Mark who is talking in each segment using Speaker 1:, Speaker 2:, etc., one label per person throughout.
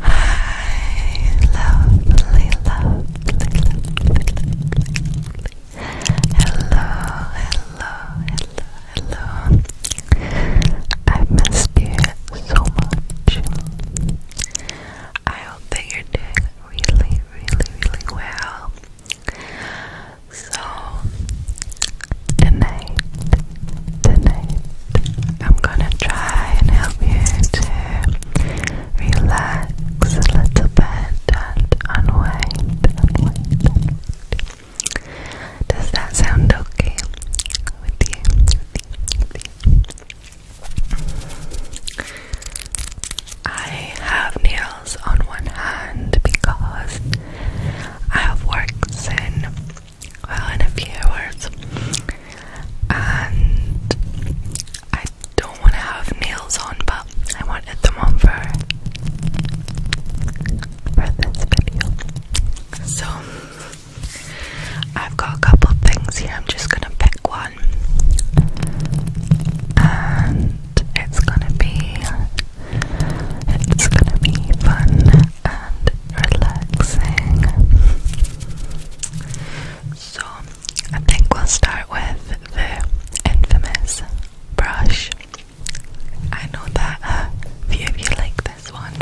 Speaker 1: Hi, lovely, lovely, lovely, Hello, hello, hello, hello. I've you so much. I hope that you're doing really, really, really well. So, tonight tonight I'm gonna try and help you to relax a little bit and unwind, Does that sound okay With you? I have nails on one hand because I have worked in well in a few hours and I don't want to have nails on but I wanted them on for, for this video so I've got a couple things here I'm just gonna pick one and it's gonna be it's gonna be fun and relaxing. So, I think we'll start with the infamous brush. I know that a uh, few of you like this one.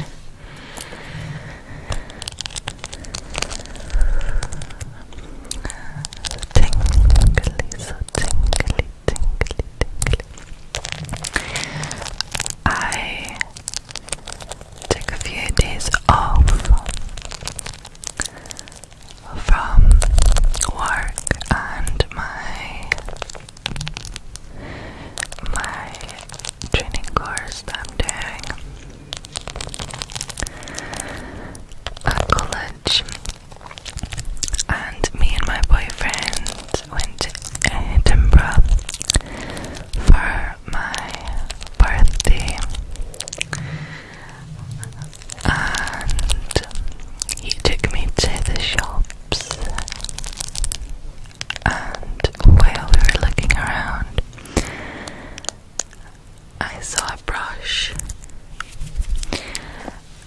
Speaker 1: Tingly, so tingly, tingly, tingly. I Take a few days off from work and my my training course I'm doing at college and me and my boyfriend went to Edinburgh for my birthday, and he took me to the shops. And while we were looking around, I saw a brush.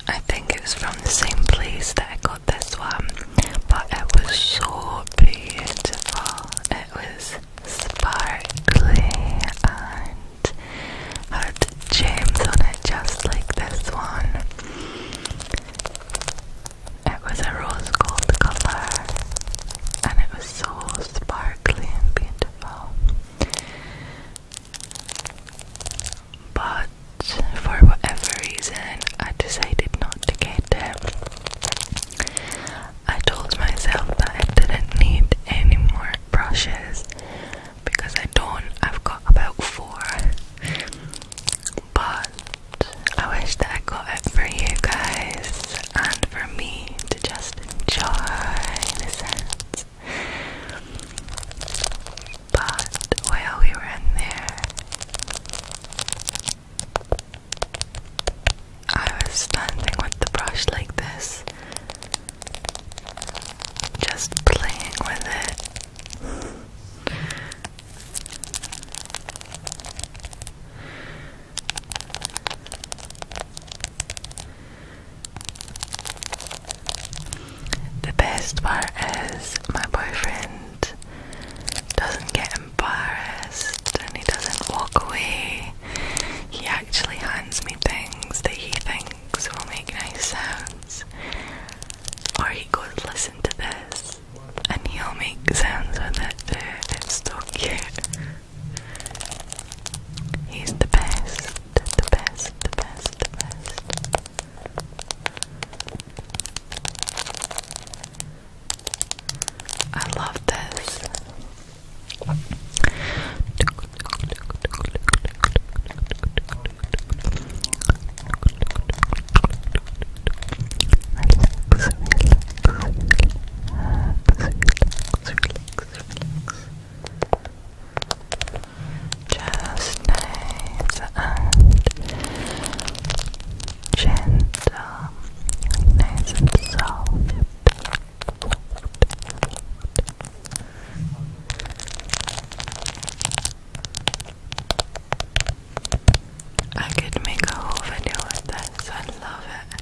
Speaker 1: I think it was from the same place that I got this one, but it was so beautiful it was sparkly and had gems on it just like this one. It was a rose gold colour and it was so sparkly and beautiful. But for whatever reason, I decided not to get it. I told myself that I didn't need any more brushes because I don't. I've got about four. But I wish that I got it for you guys and for me to just enjoy But while we were in there, I was standing with the brush like this, just playing with it. The best part is my boyfriend doesn't get embarrassed and he doesn't walk away. He actually hands me things that he thinks will make nice sounds. Or he goes, listen to this, and he'll make sounds with it too. It's so cute. He's the best, the best, the best, the best. I love this. Relax, relax, gentle, nice and soft. I could make a whole video with this, I love it.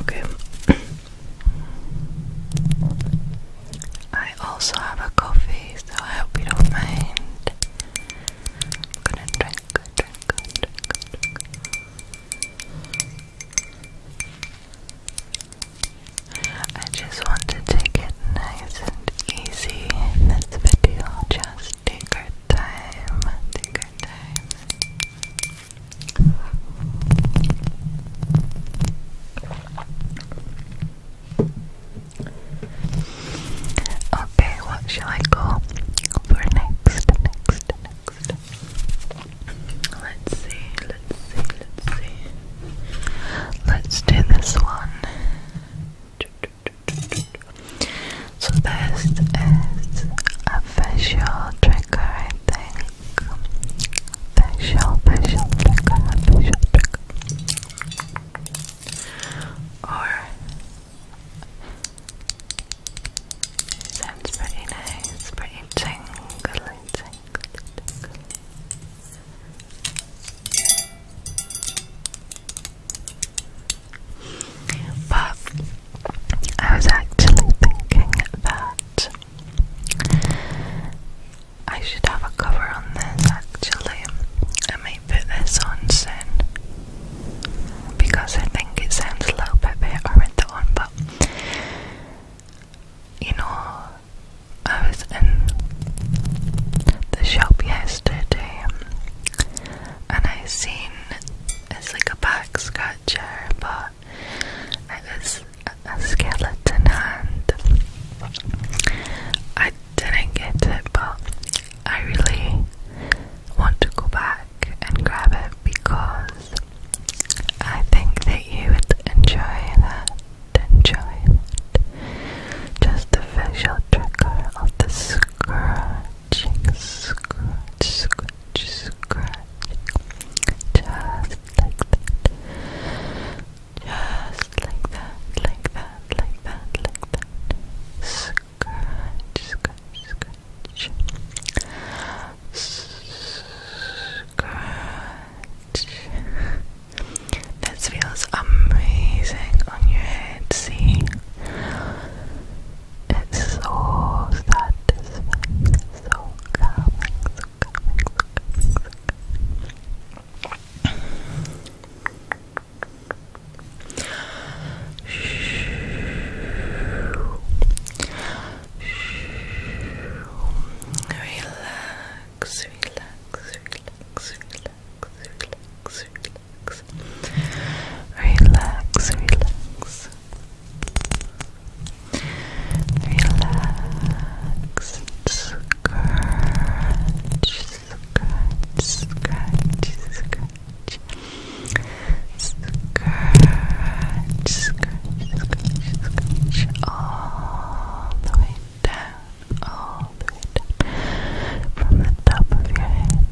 Speaker 1: Okay. I also have a coffee, so I hope you don't mind. I'm gonna drink, drink, I just want to take it nice and easy in this video, just take our time, take our time. Okay, what shall I go for next? Next, next. Let's see, let's see, let's see. Let's do this one. So this is a facial trigger, I think. Facial, facial trigger, facial trigger. Or sounds pretty nice, pretty tingly, tingly, tingly. But I was actually thinking that I should have a cover on this actually. I may put this on soon because I think it sounds a little bit better with it on, but you know, I was in the shop yesterday and I seen it's like a back scratcher, but it is a skeleton hand. I didn't get it, but I really want to go back and grab it because I think that you would enjoy that. Enjoy it. Just the visual trigger of the scratching, scratch, scratch, scratching, just like that, just like that, like that, like that, like that, scratch, scratch, scratch, scratch. This feels amazing on your head. See, it's so satisfying, so calming, so calming, so calming, so calming. Relax, relax, relax, relax, relax, relax, relax, relax, relax, relax, scratch, scratch, scratch, scratch. Scratch, scratch, all the way down, all from the top of your head.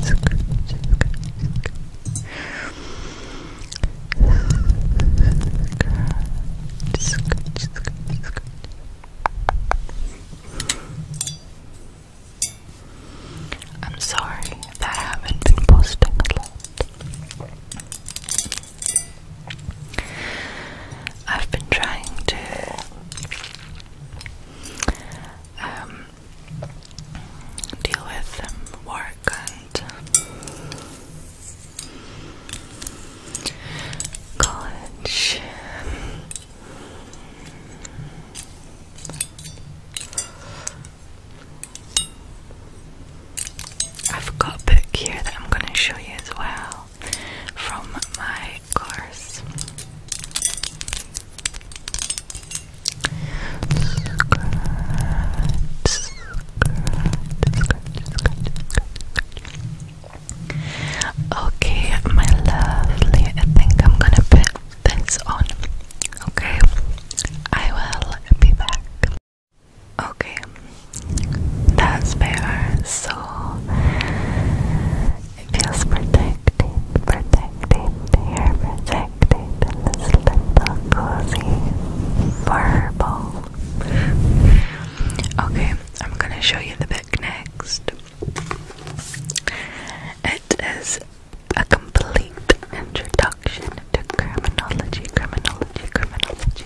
Speaker 1: Scratch, scratch, scratch. Scratch, scratch, scratch, scratch. I'm sorry that I haven't been posting a lot. I've been trying to um, deal with um, work and college. I've got a book here that I'm going to show you as well from my course. Okay, my lovely, I think I'm gonna put this on. Okay, I will be back. Okay, that's better. So, it feels protecting, protecting here, protecting in this little cozy fur Okay, I'm gonna show you the book next. It is a complete introduction to criminology, criminology, criminology.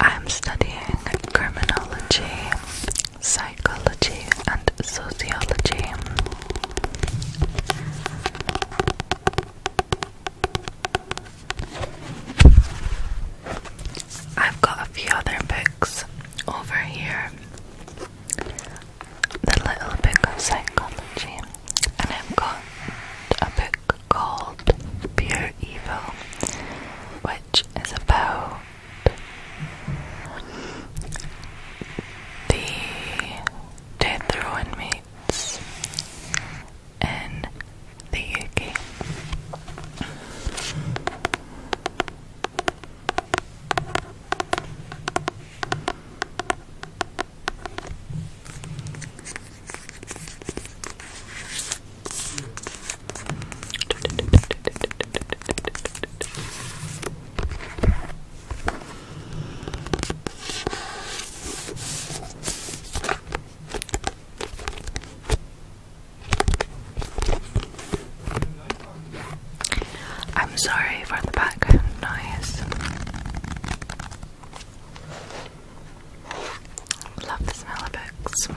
Speaker 1: I'm studying criminology, psychology, and sociology. I've got a few other books over here the little book of psychology, and I've got a book called Pure Evil, which is about the death row inmates in the UK. I'm sorry for the background noise. Love the smell of books.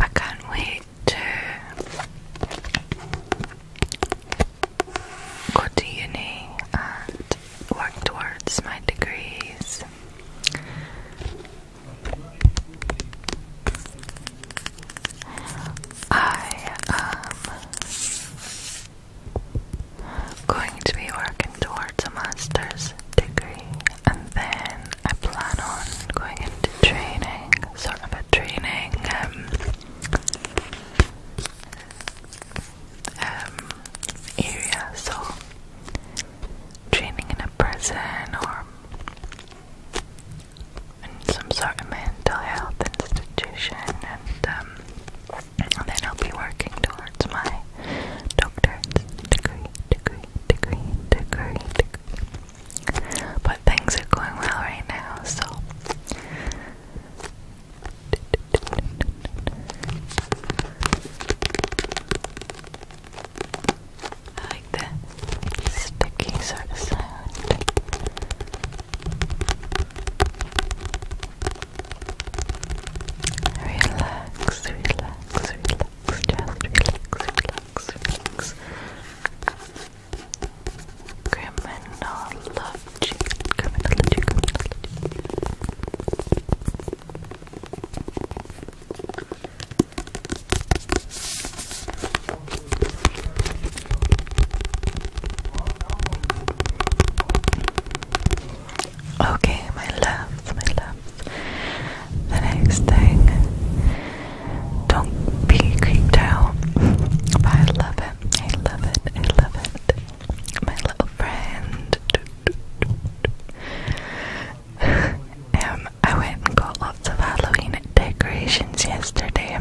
Speaker 1: I can't wait to go to uni and work towards my degrees. I am going to be working towards a master's degree and then I plan on going into training, sort of a training um, um, area, so training in a prison or and some sort of mental health institution, um, and then I'll be working towards my doctorate degree, degree, degree, degree, degree. But things are going well right now, so. I like the sticky sort of sound. Relax, relax, relax, just relax, relax, relax. Criminology, criminology, criminology. Okay, my love, my loves. The next thing, don't be creeped out. I love it, I love it, I love it. My little friend. Um, I went and got lots of Halloween decorations yesterday.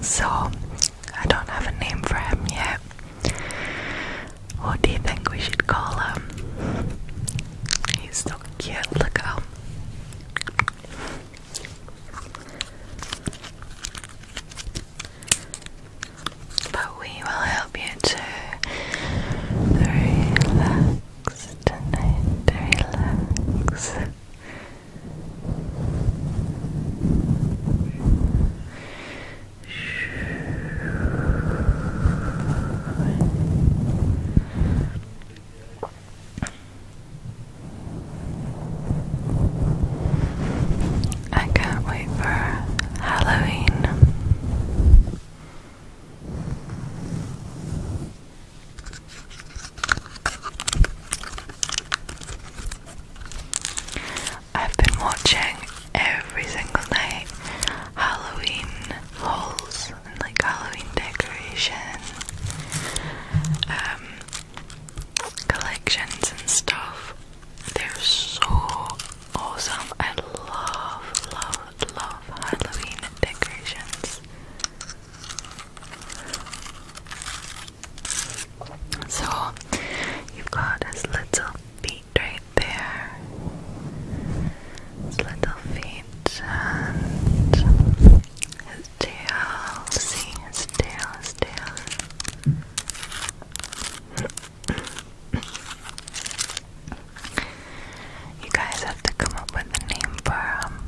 Speaker 1: So, I don't have a name for him yet. What do you think we should call him? He's so cute, look at him. But we will help you to relax tonight. Relax. I can't wait for Halloween. I've been watching every single night Halloween hauls and like Halloween decorations. Um, collections and stuff. They're so awesome. I love, love, love Halloween decorations. So you've got his little feet right there. His little feet still, still, still. you guys have to come up with a name for um,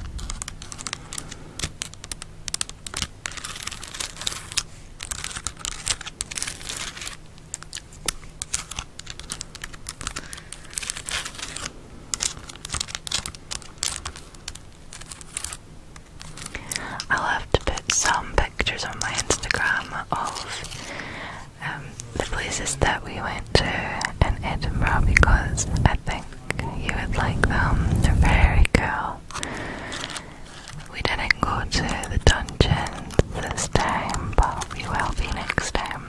Speaker 1: I'll have to put some pictures on my Instagram of um, the places that we went to in Edinburgh because I think you would like them. They're very cool. We didn't go to the dungeons this time, but we will be next time.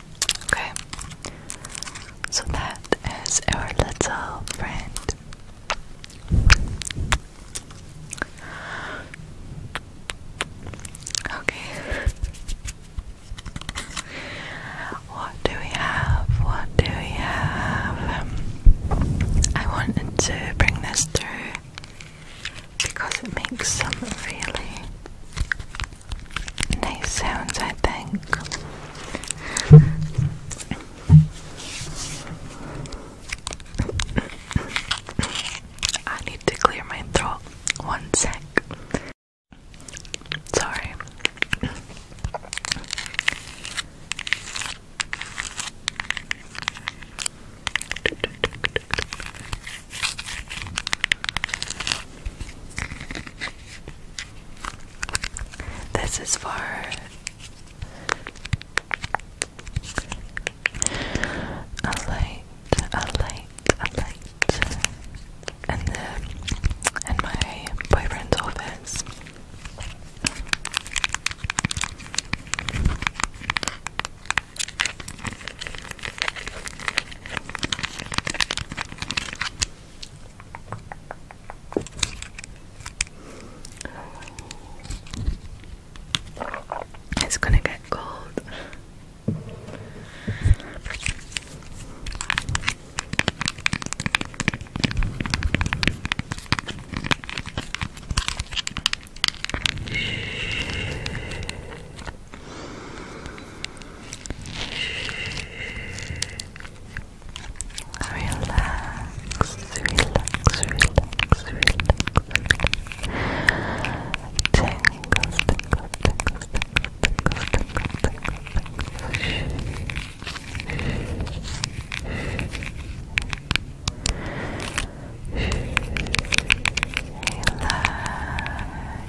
Speaker 1: Okay, so that is our little friend. Okay, what do we have? What do we have? I wanted to bring this through because it makes some really nice sounds, I think. I need to clear my throat. One sec. Sorry. This is for a light, a light, a light, and the and my boyfriend's office. It's gonna get cold. Relax, relax, relax, relax. Tingles, tingles, tingles, Relax.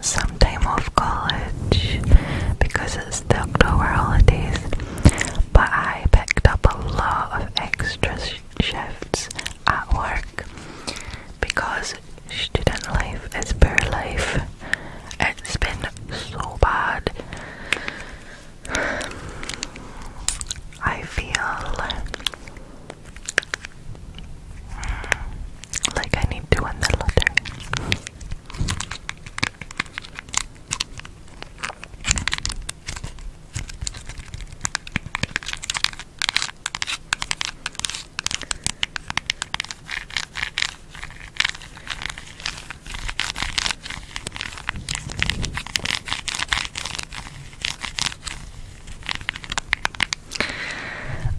Speaker 1: some time off college because it's the October holidays, but I picked up a lot of extra shifts at work because student life is poor life. It's been so bad. I feel like I need to win the lottery.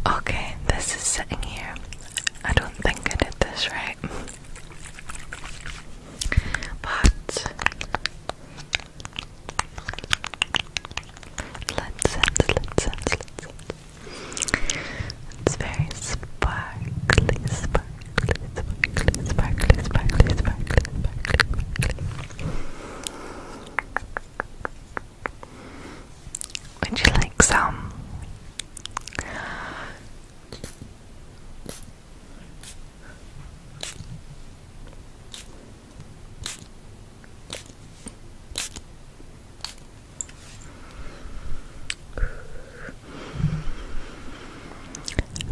Speaker 1: Okay, this is sitting here. I don't think I did this right. But let's end, let's end, let's end. It's very sparkly, sparkly, sparkly, sparkly, sparkly, sparkly, sparkly, sparkly. Would you like some?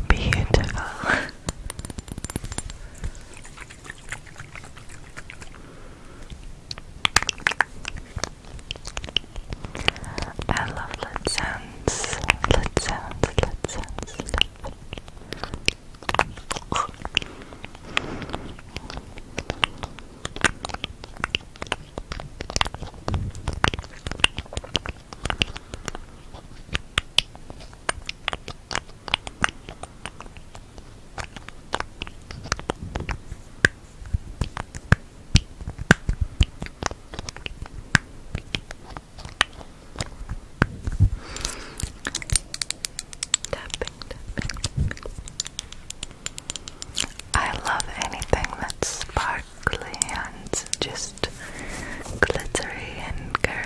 Speaker 1: Beautiful. I love lit sounds. Lit sounds, lit sounds, I love anything that's sparkly and just glittery and girly.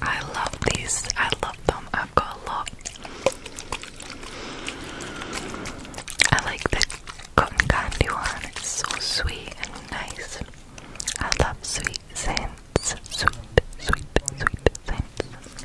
Speaker 1: I love these. I love them. I've got a lot. I like the cotton candy one. It's so sweet and nice. I love sweet things. Sweet, sweet, sweet scents.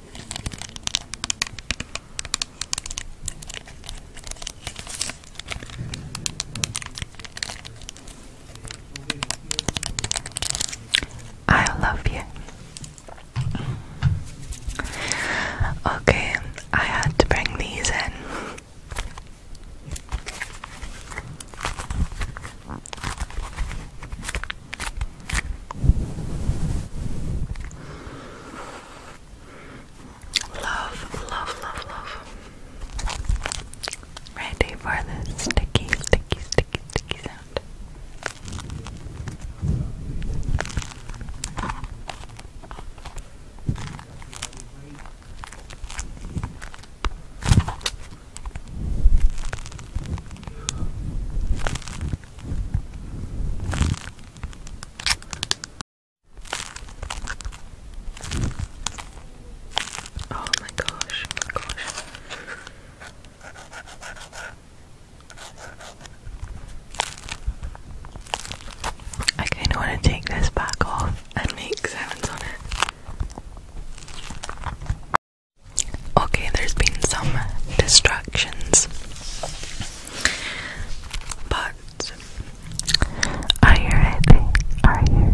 Speaker 1: I love you. Okay, I had to bring these in. Love, love, love, love. Ready for the sticky, sticky, sticky, sticky sound. Oh my gosh, oh my gosh. I kind of want to take this back off and make sounds on it. Okay, there's been some distractions, but are you ready? Are you ready?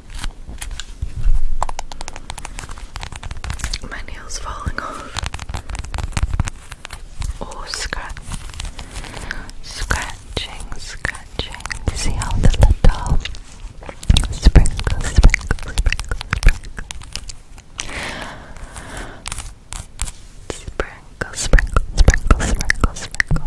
Speaker 1: My nails falling off. Oh, scratch. Scratching, scratching. See how the little sprinkle, sprinkle, sprinkle, sprinkle. Sprinkle, sprinkle, sprinkle, sprinkle, sprinkle.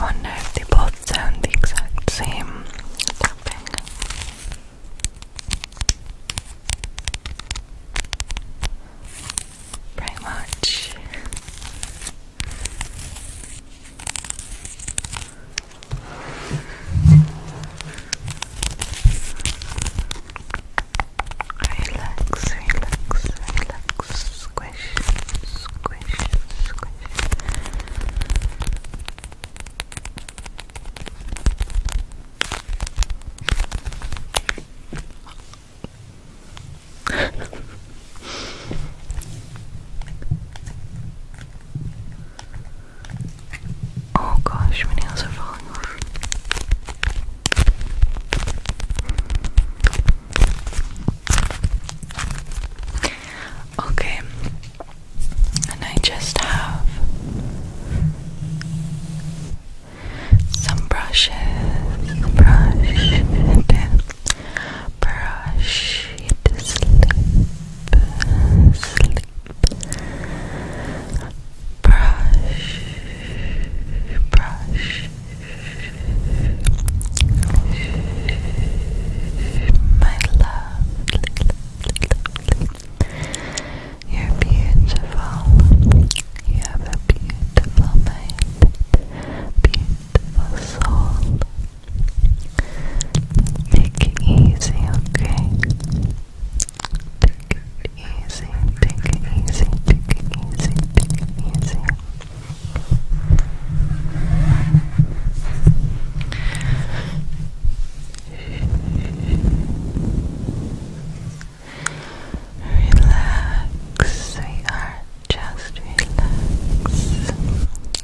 Speaker 1: Wonder if they both sound the exact same Pretty much. Relax, relax, relax. Squish, squish, squish. Oh gosh, my nails are falling off. Okay, and I just have some brushes, brush it, brush it, slip, slip, brush, brush my lovely, you're beautiful you have a beautiful mind beautiful soul Take it easy, okay? Take it easy, take it easy, take it easy, take it easy. Relax, we are just relax.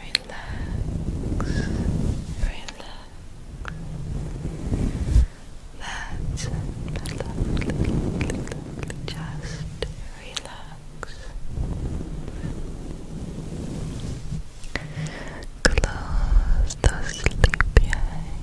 Speaker 1: Relax, relax. That's it. Just relax. Close those sleepy eyes.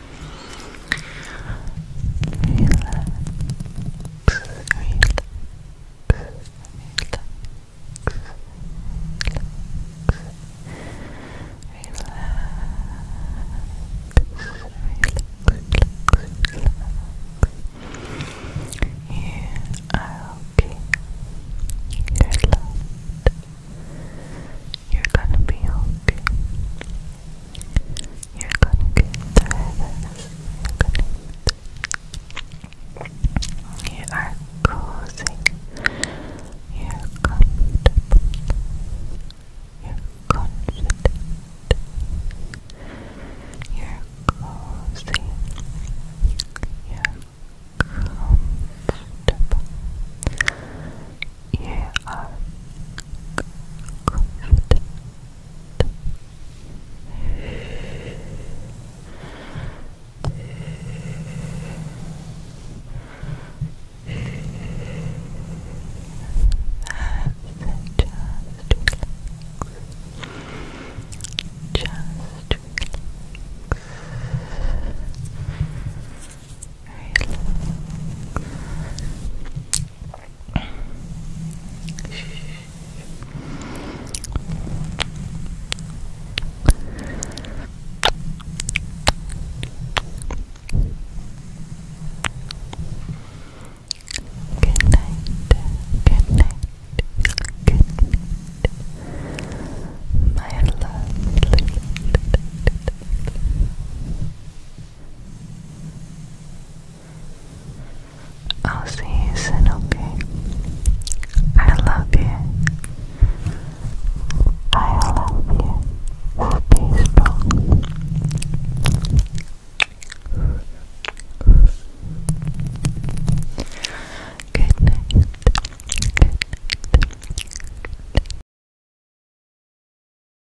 Speaker 1: relax, relax. Relax, relax, relax. You are okay. You're loved. You're gonna be okay. You're gonna get through this. You're going You are cozy. You're comfortable. You're confident. You're cozy. you you are confident. just relax. Just relax. Good night. Good night. Good night. My love. I'll see you soon, okay? I love you. I love you. Good night. Good night.